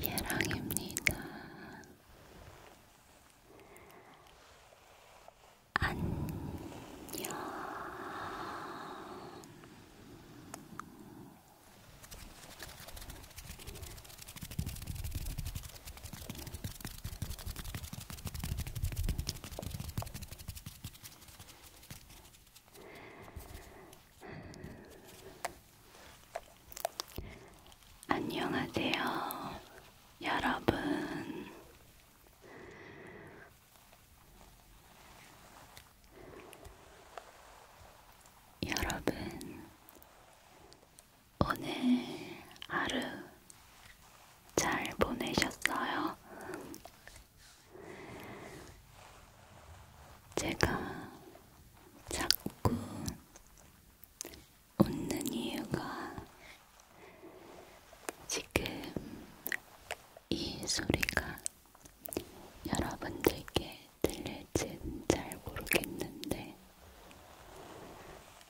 예랑입니다. 안녕. 안녕하세요, 여러분. 여러분, 오늘 하루 잘 보내셨어요? 제가 자꾸 웃는 이유가 지금 이 소리가 여러분들께 들릴진 잘 모르겠는데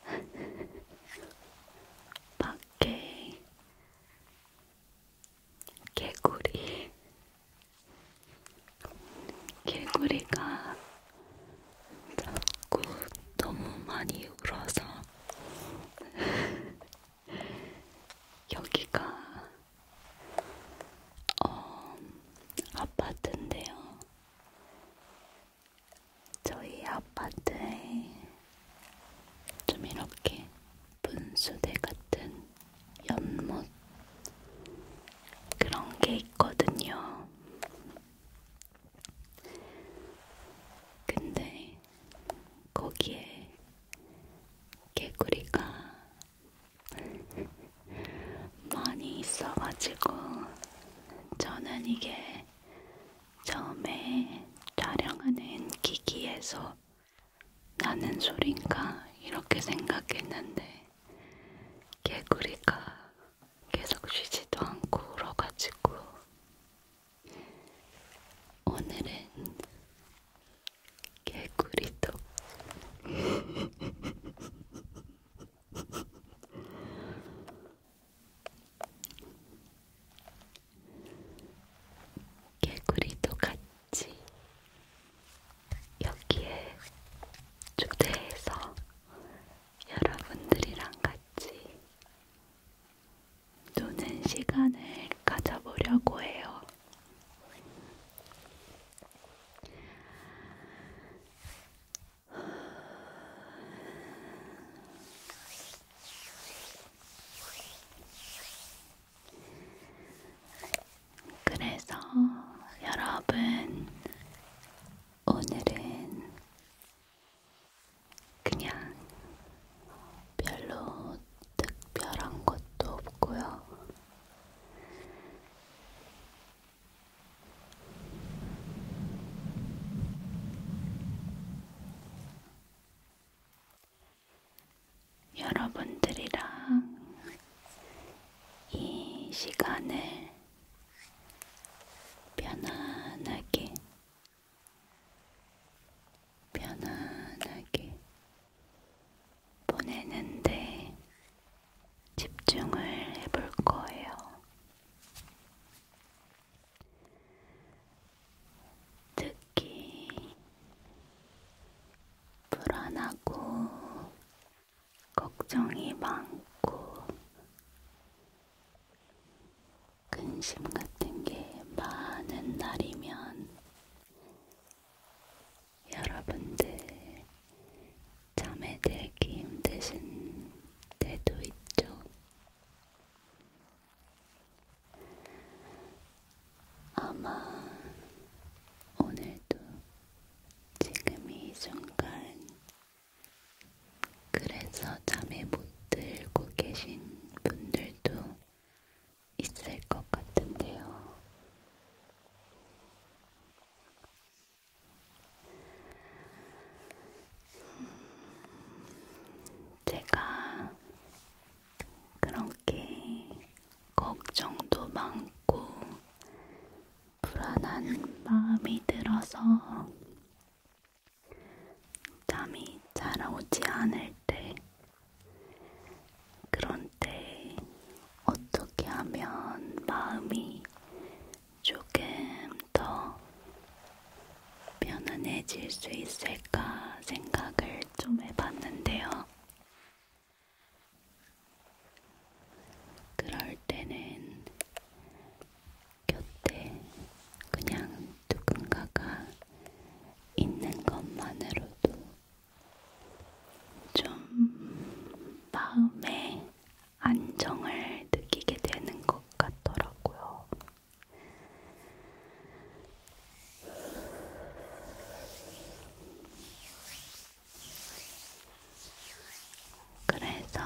밖에 개구리 개구리가 자꾸 너무 많이 울어서 여기가 어, 아파트인데요. 저희 아파트에 좀 이렇게 분수대 같은 연못 그런 게 있거든요. 근데 거기에 개구리가 많이 있어가지고 저는 이게 처음에 촬영하는 기기에서 나는 소린가 이렇게 생각했는데 개구리가 계속 쉬지도 않고 울어가지고 오늘은 개구리도 개구리도 같이 여기에 초대해서 여러분들이랑 같이 노는 시간을 가져보려고 해요. 그래서 여러분, 오늘은 그냥 별로 특별한 것도 없고요. 여러분들이랑 이 시간을 편안하게, 편안하게 보내는데 집중을 해볼 거예요. 특히 불안하고 걱정이 많고 근심 같은 게 많은 날이면 여러분들 잠에 들기 힘드신 때도 있죠. 아마 오늘도 지금 이 순간 그래서 잠에 못 들고 계신 분들도 있을 것 같은데요. 제가 그렇게 걱정도 많고 불안한 마음이 들어서 잠이 잘 오지 않을 때 그런 때 어떻게 하면 마음이 조금 더 편안해질 수 있을까 생각을 좀 해봤는데요. 그럴 때는 곁에 그냥 누군가가 있는 것만으로도 좀 마음에 안정을 느끼게 되는 것 같더라고요. 그래서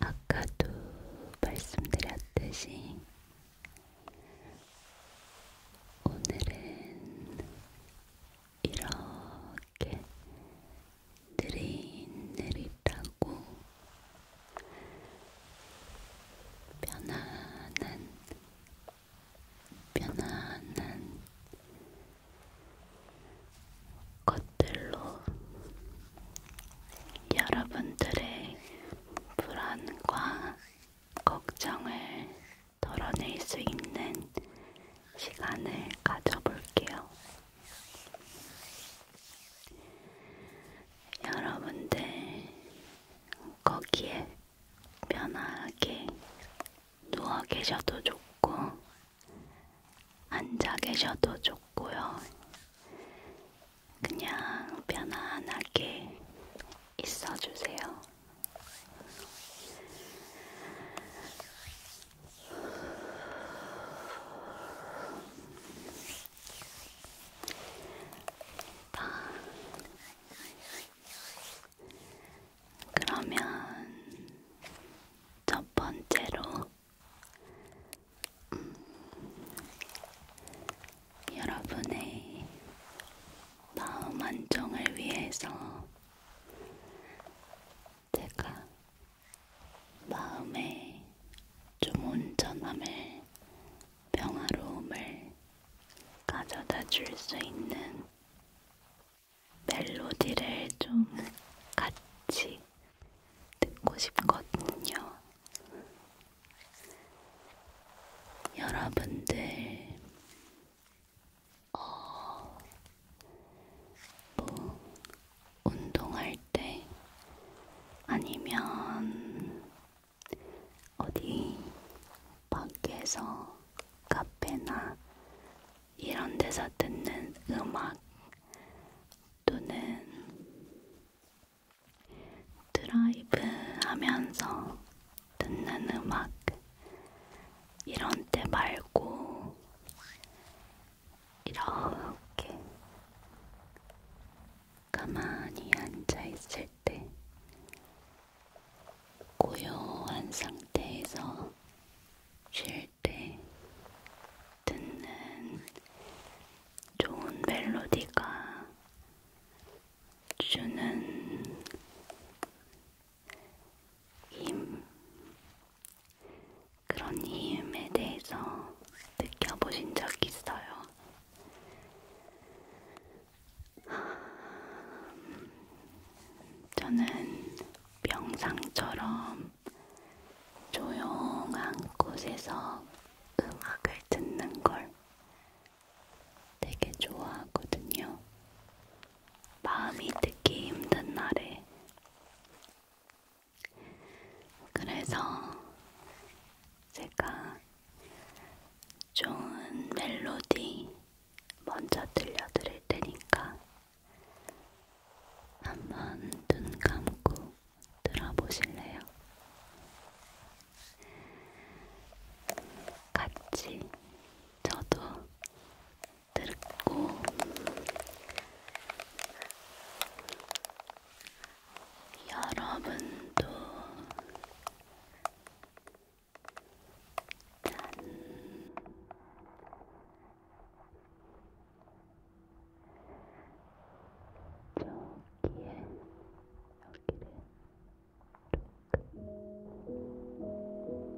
아까도 말씀드렸듯이 오늘은 이렇게 부드럽게 느릿느릿하고 편안한 편안한 것들로 여러분들의 불안과 걱정을 덜어낼 수 있는 시간을 가져볼게요. 여러분들 거기에 편하게 누워 계셔도 좋고 앉아 계셔도 좋고요. 그냥 편안하게 있어주세요. 그러면 첫 번째로 음, 여러분의 마음 안정을 위해서 제가 마음에 좀 온전함을 평화로움을 가져다 줄 수 있는 멜로디를 좀 같이 듣고 싶거든요. 여러분들 어, 뭐 운동할 때 아니면 어디 밖에서 카페나 이런 데서 듣는 음악 또는 드라이브 하면서 듣는 음악 이런 때 말고 이렇게 가만히 앉아있을 때 고요한 상태에서 쉴 때 듣는 좋은 멜로디가 주는 힘, 그런 힘에 대해서 느껴보신 적 있어요? 저는 명상처럼 조용한 곳에서 음악을 듣는 걸 되게 좋아하거든요. 마음이 듣기 힘든 날에 그래서 제가 좋은 멜로디 먼저 들려드릴 테니까 한번 눈 감고 들어보실래요? 같이 저도 들고 여러분도 짠 저기에 여기를 톡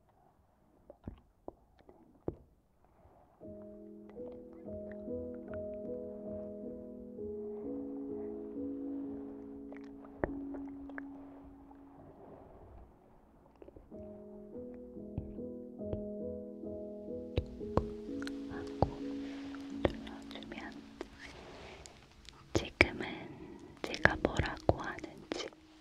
눌러주면 지금은 제가 뭐라고 하는지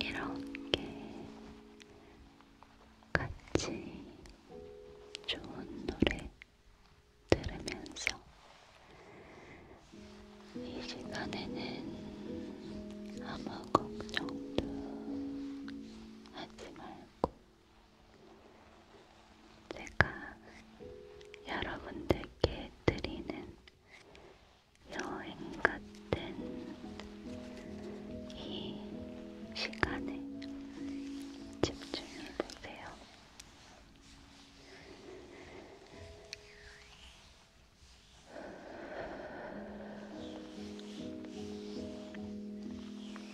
이렇게 같이 좋은 노래 들으면서 이 시간에는 아무 걱정도 하지 말고 제가 여러분들께 드리는 여행 같은 이 시간에 집중해 보세요.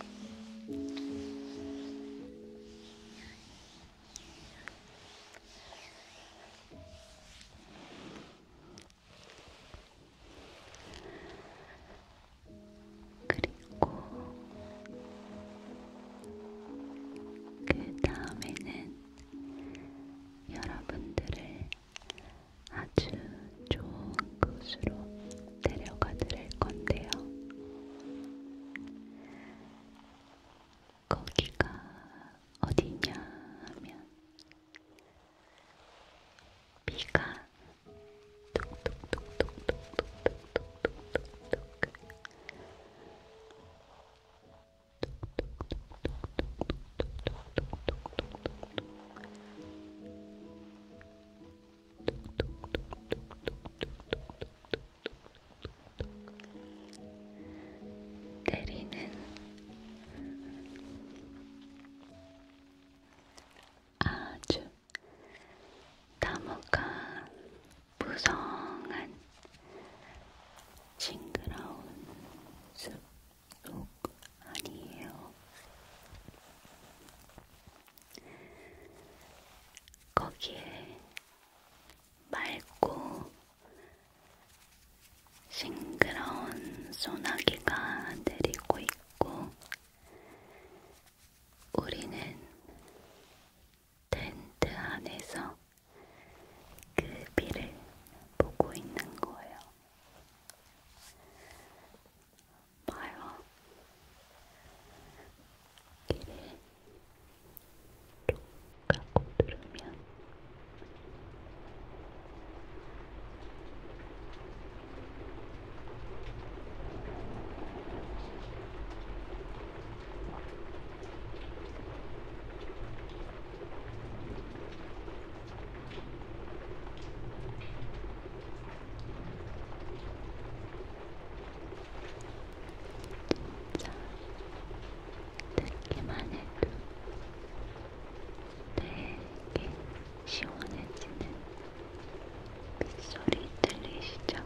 그리고 그 다음에는 여러분들을 아주 좋은 곳으로 데려가 드릴 건데요. 거기가 어디냐 하면 비가 톡톡톡톡톡톡톡톡톡톡 때리는 아주 나무가 무성한 징그러운 숲속 아니에요. 거기에 맑고 싱그러운 소나기가 내리고 있고, 우리는 텐트 안에서 그 비를 보고 있는 거예요. 봐요. 귀를 쭉 감고 들으면 자, 듣기만 해도 되게 시원해지는 빗소리 들리시죠?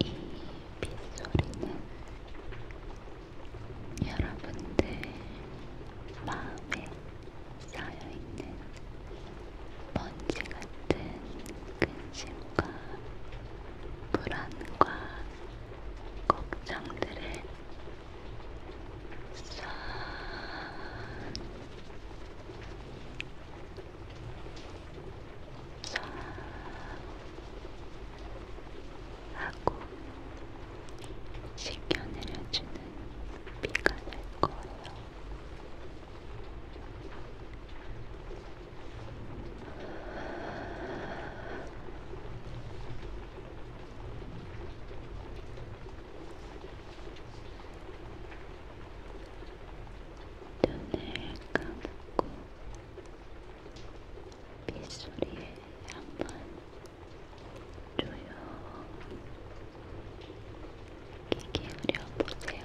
이 빗소리는 여러분들 마음에 쌓여있는 먼지 같은 근심과 불안과 걱정들을 싹쫙 하고 식혀내려주는 비가 날 거예요. 눈을 감고 빗소리에 한번 조용히 기울여 보세요.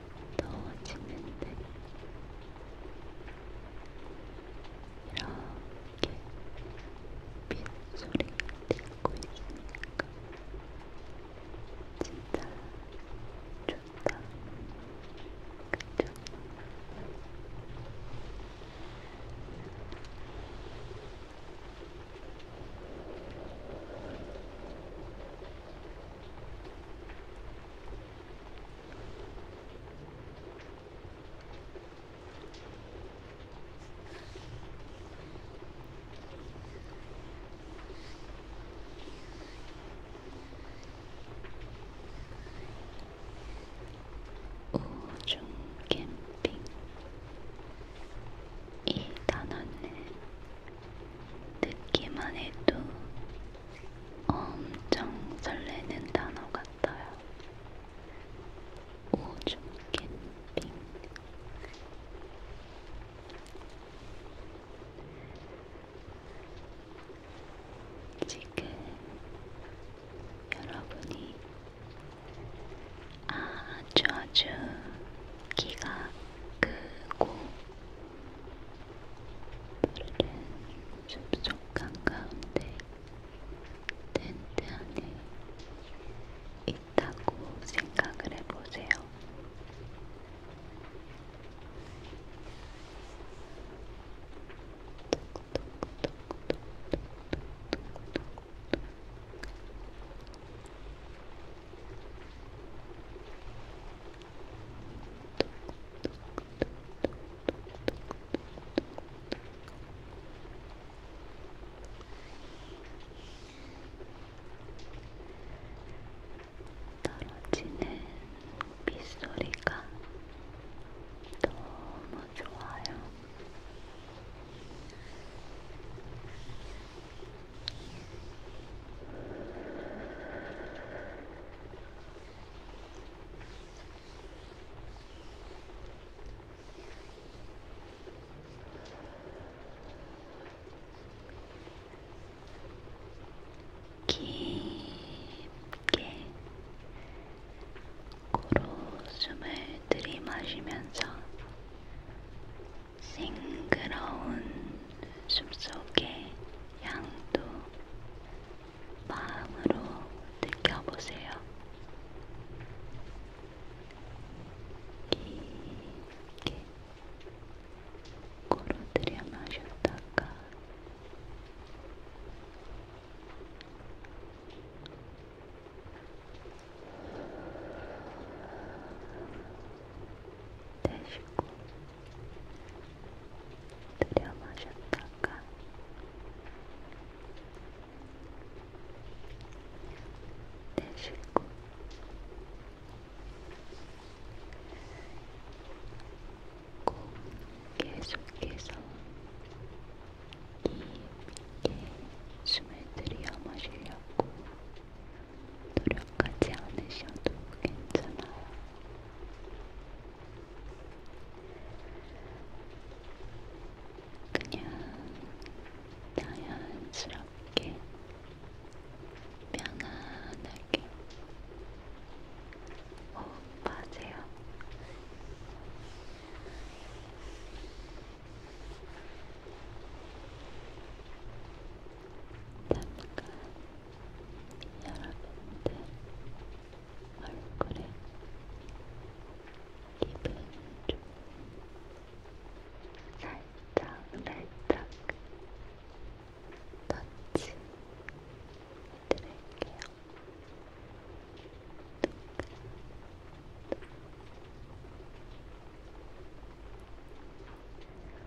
더워지는데 이렇게 빗소리 듣고 있으니까 진짜 좋다. 그쵸? 우중 캠핑 이 단어는 듣기만 해도 엄청 설레는 단어 같아요. 우주 캠핑. 지금 여러분이 아주 아주 키가 크고 그 오늘은 숲속한 가운데 텐트 안에 있다고 생각을 해보세요. 떨어지는 빗소리가 너무 좋아요. 깊게 코로 숨을 들이마시면서 싱그러운 숨속의 향도 마음으로 느껴보세요. 깊게 코로 들여 마셨다가 내쉬고 들여 마셨다가 내쉬고 꼭 계속해서 깊게 숨을 들여 마시려고 노력하지 않으셔도 괜찮아요. 그냥 자연스럽게 편안하게 호흡하세요. 잠깐 여러분들 얼굴에 기분 좋은 살짝 살짝 터치 해드릴게요. 눈, 눈.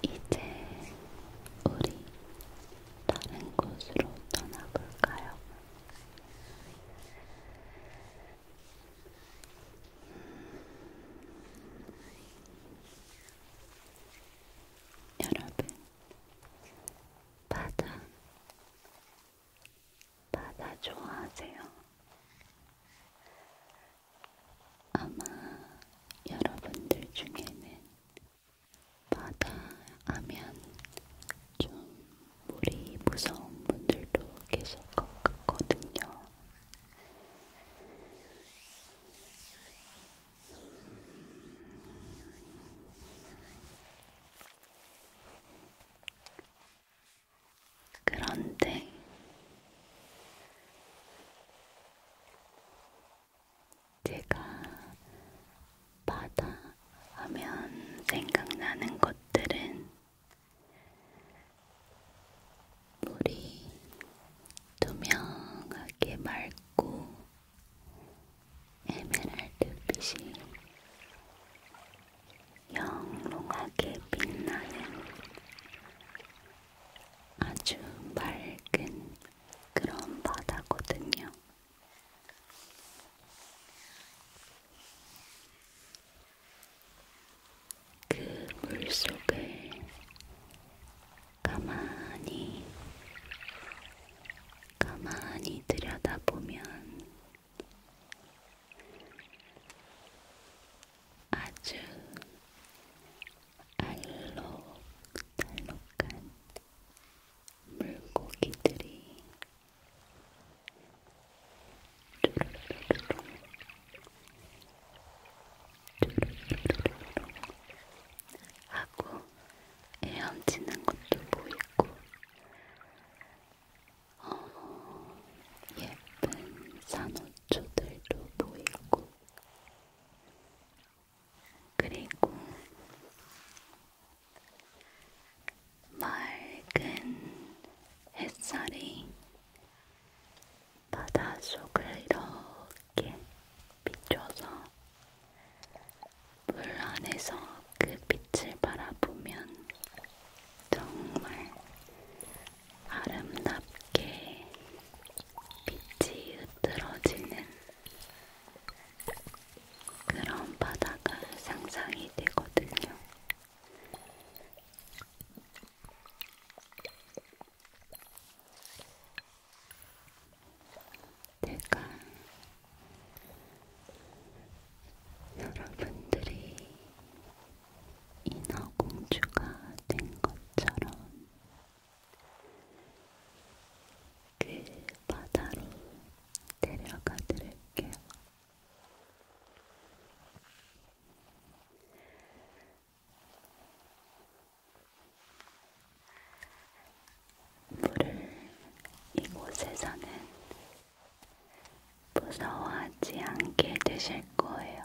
이제 우리 다른 곳으로 떠나볼까요? 음, 여러분, 바다, 바다 좋아하세요? 아마 여러분들 중에는 바다 하면 좀 물이 무서운 분들도 계실 것 같거든요. 그런데 제가 바다 하면 생각나는 것들은 물이 투명하게 맑고 에메랄드빛이 영롱하게 빛나는 아주 맑은 그런 바다거든요. 그 물속을 가만히, 가만히 들여다보면 아주 알록달록한 물고기들이 뚜루루루루루 뚜루루루루루 하고 헤엄치는 것도 보이고 어, 예쁜 산호 고추들도 보이고, 그리고 맑은 햇살이 바다 속을 이렇게 비춰서 물 안에서 그 빛을 바라보면 정말 아름답게 빛이 흐트러지는 그런 바다가 상상이 되거든요. 내가 여러분들이 인어공주가 된 것처럼 그 바다로 데려가 드릴게요. 물을 이곳에 서는 무서워하지 않게 되실 거예요.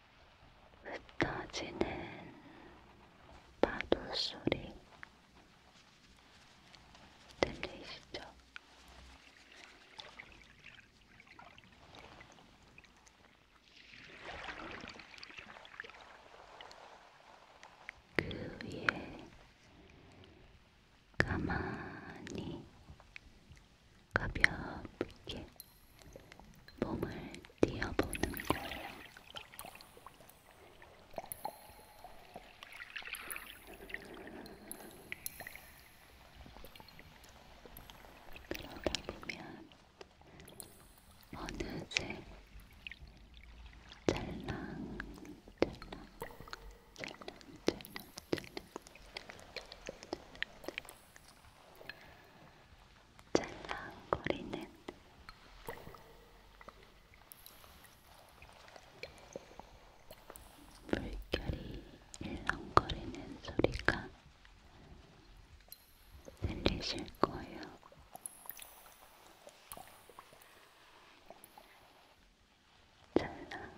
흩어지는 파도 소리 들리시죠? 그 위에 가만히 가볍게 몸을 띄어보는 거예요. 그러다 보면 어느새 찰랑찰랑 찰랑찰랑 찰랑 찰랑거리는 물결이 일렁거리는 소리가 들리실 거예요. 찰랑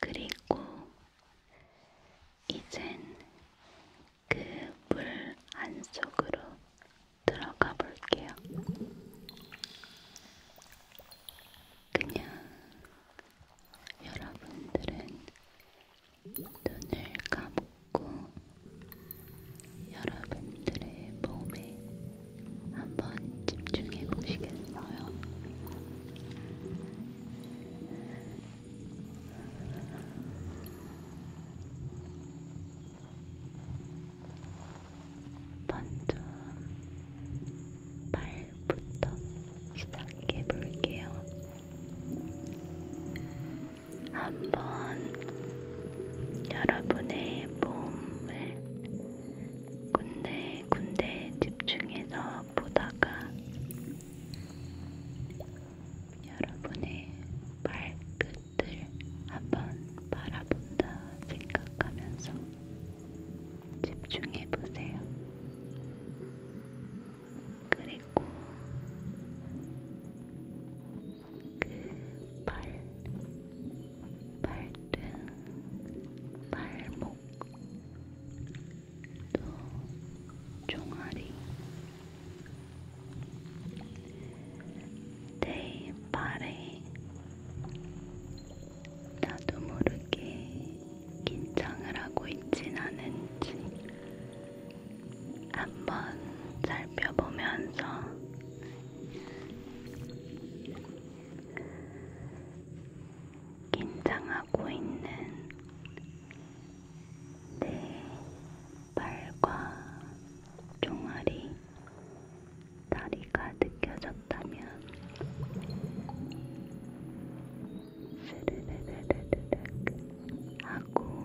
그리고 이젠 그 물 안 속으로 들어가 볼게요. 그냥 여러분들은 눈을 감고 여러분들의 몸에 한번 집중해 보시겠어요? 먼저 발부터 시작해 볼게요. 한번 여러분의 몸을 군데군데 집중해서 보다가 여러분의 발끝 것들 한번 바라본다 생각하면서 집중해 보세요. 그리고 그 발, 발등, 발목, 또 종아리, 내 발에 나도 모르게 긴장을 하고 있진 않은지 한번 살펴보면서 긴장하고 있는 내 발과 종아리, 다리가 느껴졌다면 스르르르르르 하고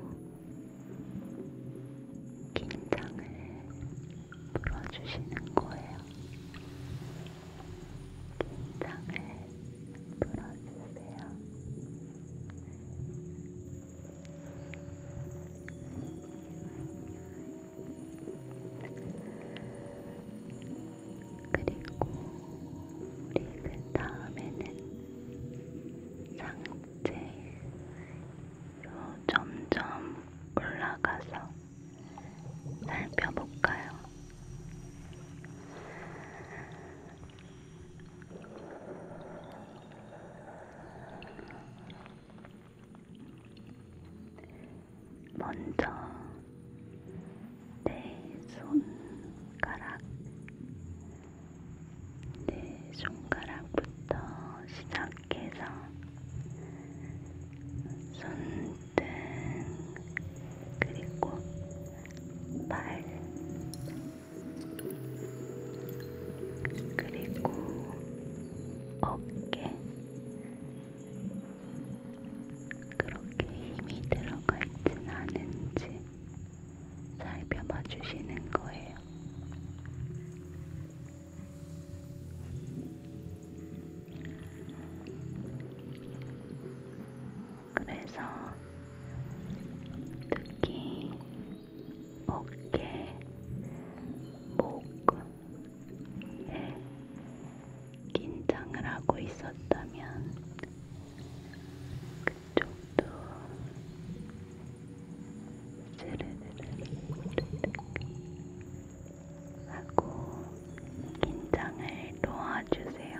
긴장을 풀어주시는 거예요. 긴장을 풀어주세요. 그리고 우리 그 다음에는 상체로 점점 올라가서 살펴볼까요? 먼저 내 손가락, 내 손가락부터 시작해서 손등 그리고 발, 그리고 어깨 그렇게 힘이 들어가 있진 않은지 살펴봐 주시는 거예요. 그래서 특히 어깨, 목, 에 긴장을 하고 있었다면 그쪽도 스르르르르 하고 긴장을 놓아주세요.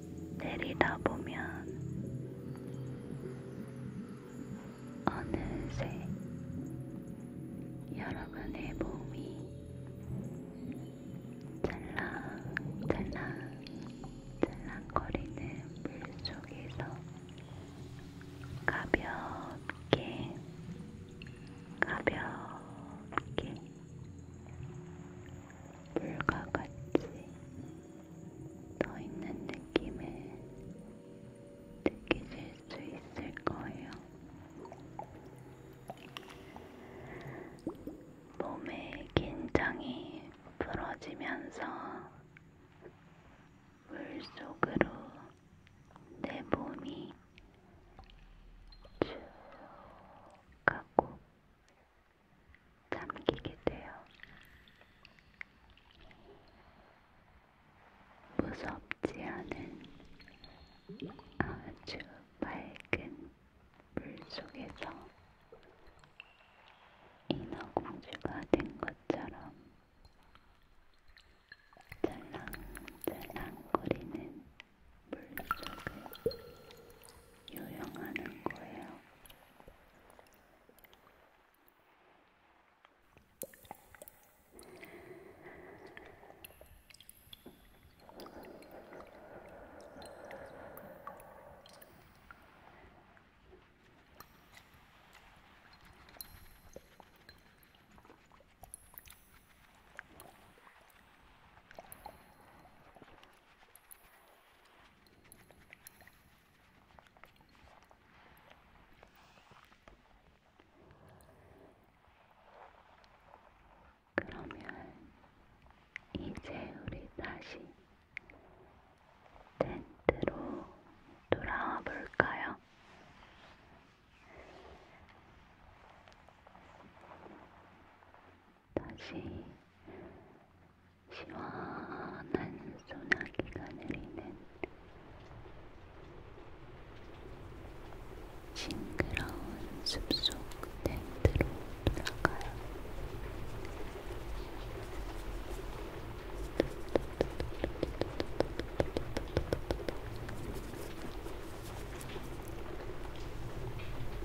내리다 보면 어느새 여러분의 몸이 찰랑찰랑 찰랑거리는 물속에서 가볍게 가볍게 물과 같이 떠있는 느낌을 느끼실 수 있을 거예요. 몸의 긴장이 풀어지면서 물속으로 내 몸이 쭉 가고 잠기게 돼요. 무섭지 않은 아주 맑은 물 속에서 인어공주가 된 것처럼 짤랑짤랑거리는 물속에 유영하는 거예요. 그러면 이제 우리 다시 텐트로 돌아와 볼까요? 다시 시원한 소나기가 내리는 징그러운 숲속 텐트로 돌아가요.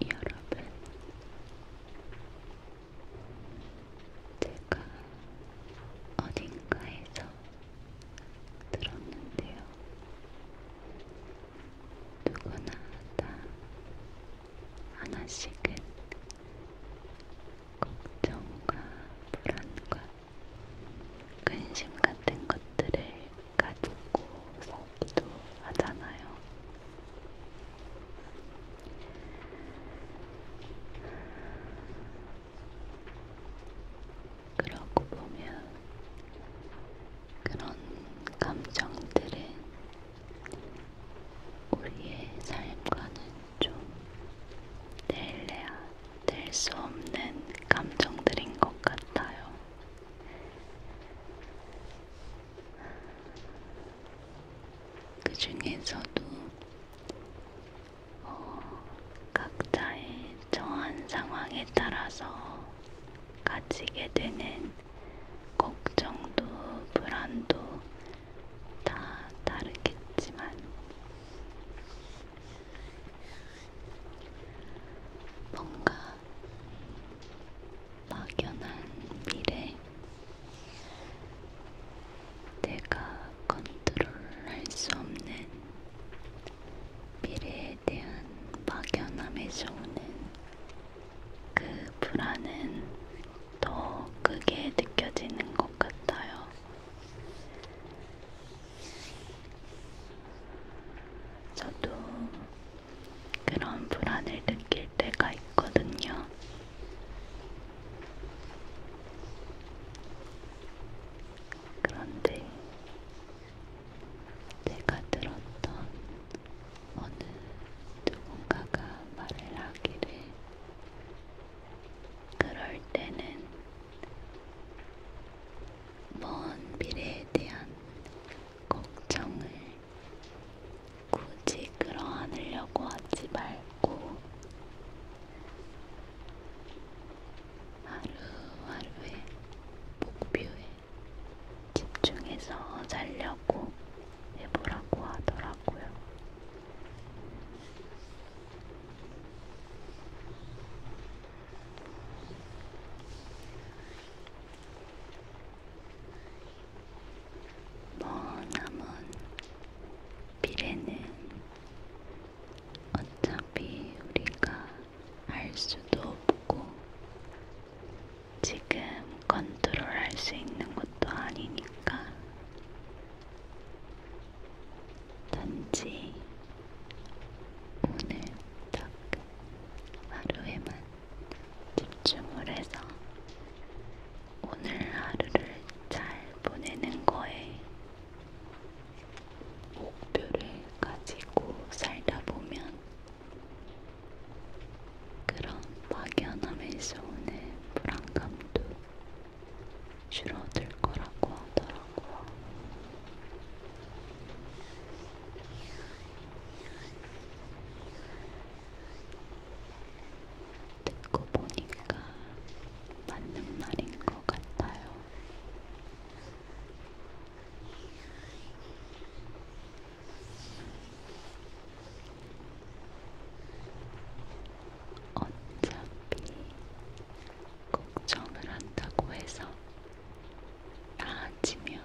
여러분, 제가 어딘가에서 들었는데요. 누구나 다 하나씩은 걱정과 불안과 근심 같은 것들을 가지고 살기도 하잖아요. 그러고 보면 그런 감정들은 우리의 삶과는 좀 뗄래야 뗄수 없는 감정들인 것 같아요. 그 중에서도 어, 각자의 처한 상황에 따라서 가지게 되는 걱정도 불안도 다 다르겠지만 뭔가 막연한 미래, 내가 컨트롤할 수 없는 미래에 대한 막연함에서 오는 그 불안은 더 크게 느껴지는 것 같아요. 저도 그런 불안을 느낄 때가 있거든요. 그런데 제가 들었던 어느 누군가가 말을 하기를 그럴 때는 먼 미래에 대한 걱정을 굳이 끌어안으려고 하지 말고 하루하루의 목표에 집중해서 살려고 해보라고 하더라고요. 머나먼 미래는 어차피 우리가 알 수도 없고 지금 컨트롤 할 수 있는 것도 아니니까 단지 오늘 딱 하루에만 집중을 해서 오늘 하루를 잘 보내는 거에 목표를 가지고 살다 보면 그런 막연함에서 오는 불안감도 줄어들 거라고 하더라고요. 듣고 보니까 맞는 말인 것 같아요. 어차피 걱정을 한다고 해서 나아지면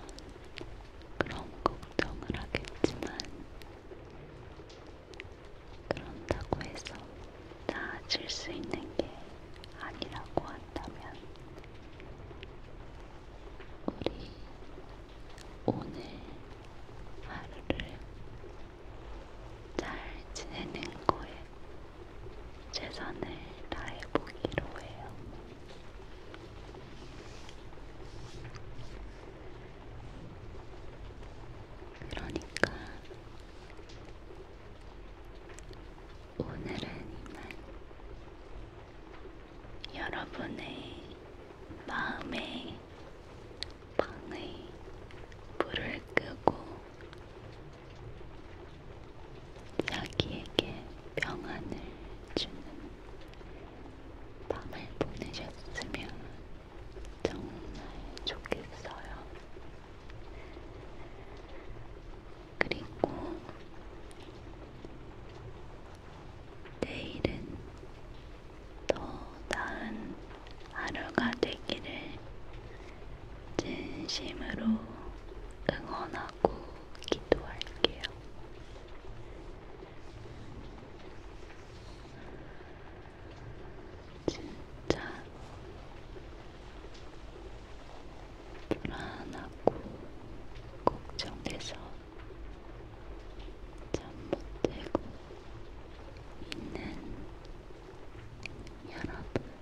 그런 걱정을 하겠지만 그런다고 해서 나아질 수 있는 게 아니라고 한다면 우리 오늘 하루를 잘 지내는 거에 최선을 다해보기로 해요. 그러니까 오늘은 이만 여러분의 마음에 방의 불을 끄고 자기에게 평안을 주는 밤을 보내셨으면 정말 좋겠어요. 그리고 내일은 더 나은 하루가 되기를 진심으로 응원하고 기도할게요. 진짜 불안하고 걱정돼서 잠못 들고 있는 여러분.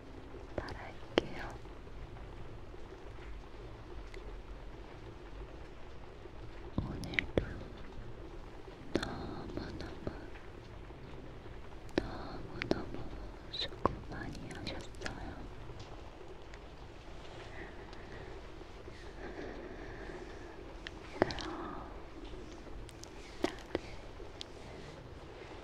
바랄게요. 오늘도 너무너무 너무너무 수고 많이 하셨어요. 그럼 다들